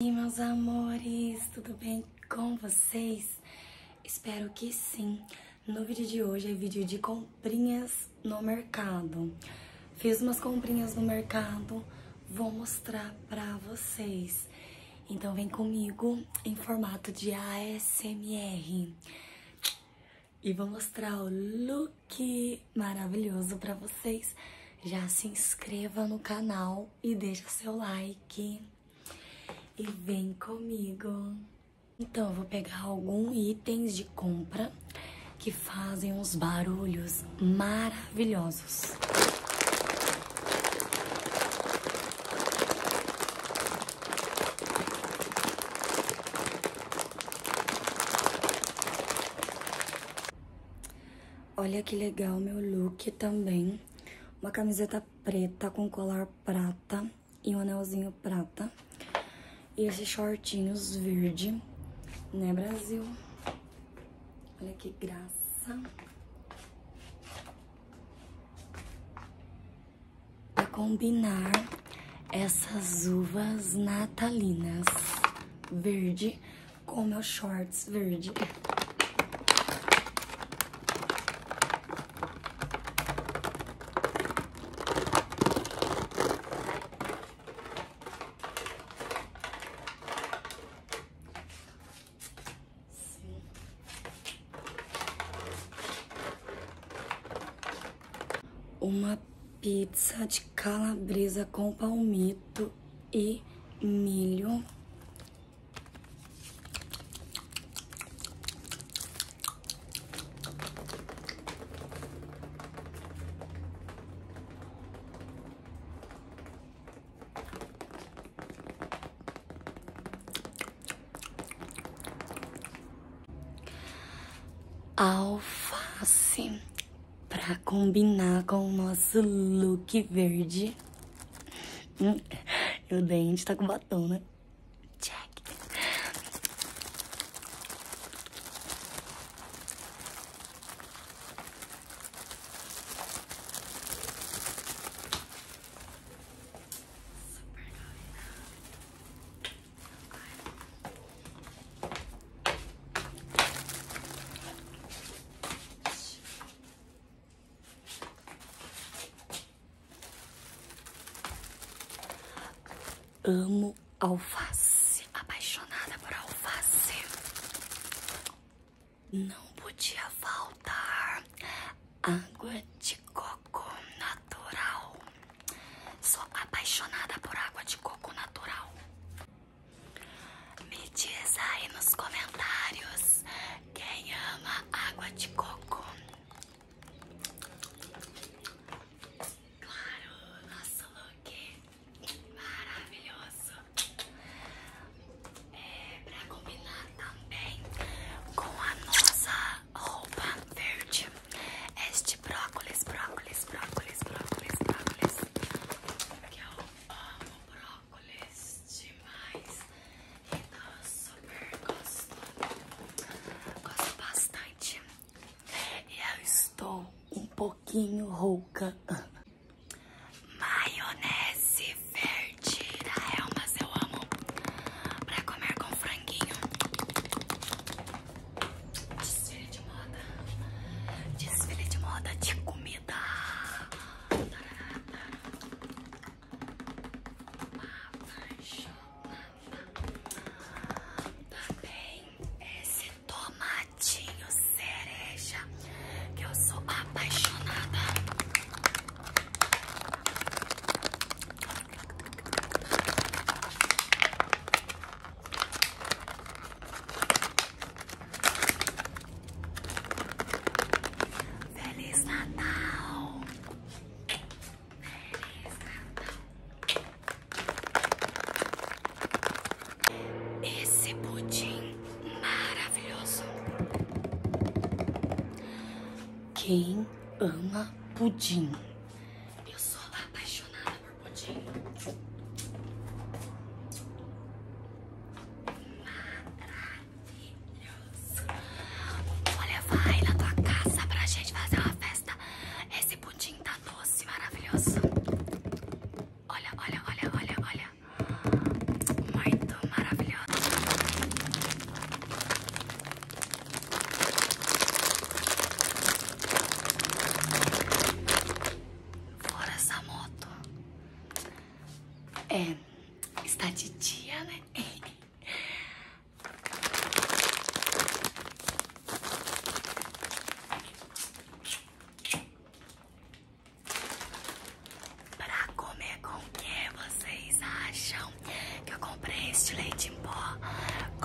E meus amores, tudo bem com vocês? Espero que sim. No vídeo de hoje é vídeo de comprinhas no mercado. Fiz umas comprinhas no mercado, vou mostrar para vocês. Então vem comigo em formato de ASMR. E vou mostrar o look maravilhoso para vocês. Já se inscreva no canal e deixa seu like e vem comigo. Então eu vou pegar alguns itens de compra que fazem uns barulhos maravilhosos. Olha que legal meu look também. Uma camiseta preta com colar prata e um anelzinho prata. E esses shortinhos verde, né, Brasil? Olha que graça. Pra combinar essas uvas natalinas verde com meus shorts verde. uma pizza de calabresa com palmito e milho alface para combinar com o nosso look verde e o dente tá com batom, né? Check. Amo alface, apaixonada por alface. Não podia faltar água de coco natural. Sou apaixonada por água de coco natural. Me diz aí nos comentários quem ama água de coco? Claro, nosso look maravilhoso. É para combinar também com a nossa roupa verde. Este brócolis, brócolis, brócolis, brócolis, brócolis. Que eu amo brócolis óculos demais e tá super gostoso. Gosto bastante. E eu estou um pouquinho rouca. Maionese verde da Elmas eu amo pra comer com franguinho. Desfile de moda, desfile de moda de comida. Também esse tomatinho cereja que eu sou apaixonada. Feliz Natal! Feliz Natal! Esse pudim maravilhoso! Quem ama pudim? Eu sou apaixonada por pudim. Maravilhoso! maravilhoso. Vou levar aí na tua casa pra gente fazer uma festa. Esse pudim tá doce, maravilhoso. Olha, olha, olha, olha, olha. Muito maravilhoso. Fora essa moto. É. Está de dia, né? Para comer com o que vocês acham que eu comprei este leite em pó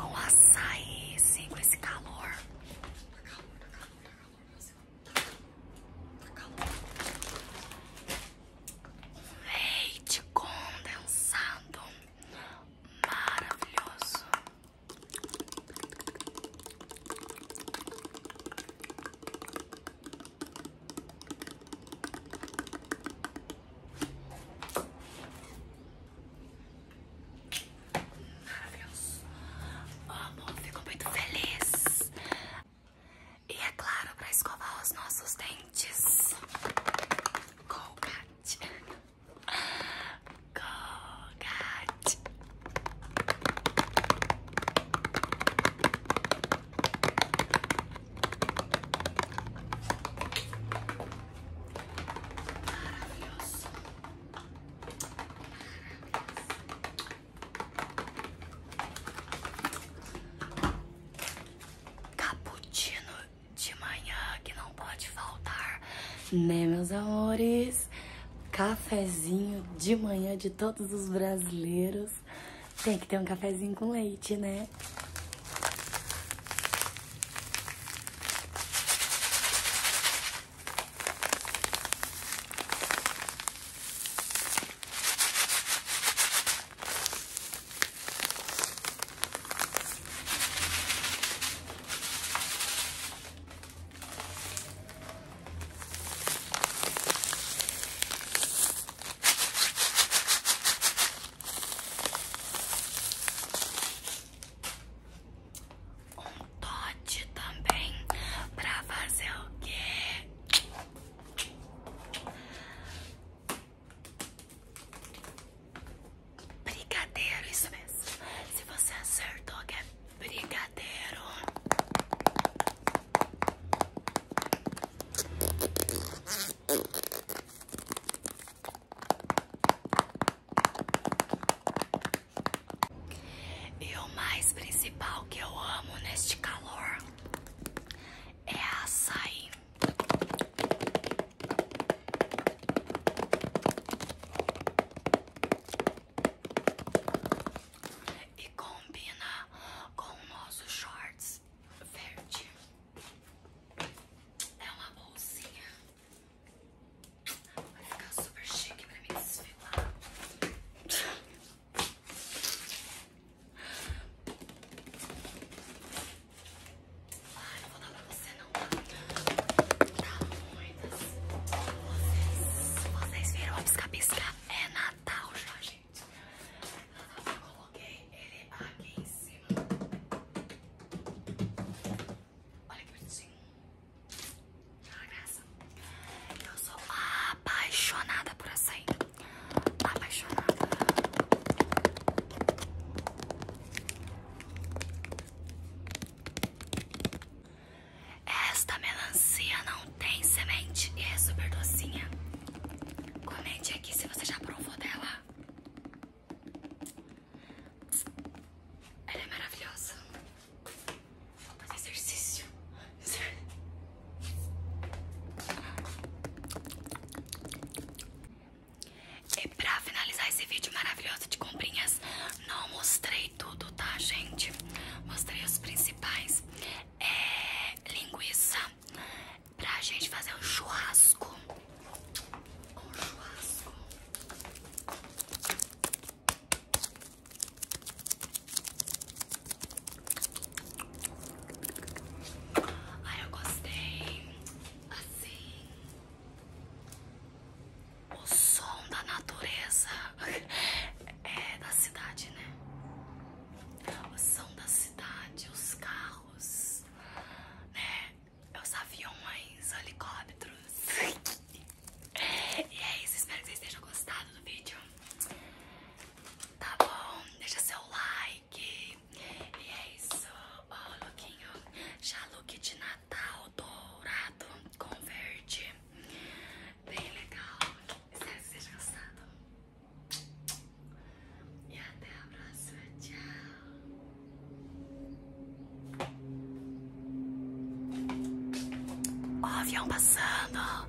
com açaí? Sim, com esse calor. Tá calor, tá calor, tá calor. Tá Tá calor. Leite condensado. Maravilhoso. Maravilhoso. Amo, fico muito feliz. E é claro, para escovar os nossos dentes. Colgate. Colgate. Maravilhoso. Maravilhoso. Cappuccino de manhã que não pode faltar, né, meus amores? Cafezinho de manhã de todos os brasileiros. Tem que ter um cafezinho com leite, né? Um tote também para fazer o quê? Brigadeiro, isso mesmo. Se você acertou que é brigadeiro. E o mais principal que eu amo neste calor é açaí. E combina com o nosso shorts verde. É uma bolsinha. Vai ficar super chique pra me desfilar. Ah, não vou dar pra você não, tá? Tá muitas. Vocês, vocês viram a pisca-pisca? É Natal já, gente. eu coloquei ele aqui em cima. Olha que bonitinho. Que graça. Eu sou apaixonada por açaí apaixonada. Esta melancia não tem semente e é super docinha. Comente aqui se você já provou dela. Ela é maravilhosa. Vou fazer exercício. E é pra finalizar esse vídeo maravilhoso de comprinhas, não mostrei tudo, tá, gente? Mostrei os principais. É linguiça pra gente fazer um churrasco. Um churrasco. Ai, eu gostei. Assim, o som da natureza é da cidade, né? O som da cidade, os carros, né? Os aviões, helicópteros. E é isso, espero que vocês tenham gostado do vídeo. Tá bom, deixa seu like. E é isso, ó, oh, lookinho. Já look de Natal dourado com verde. Bem legal. Espero que vocês tenham E até a próxima. Tchau. Ó, avião passando.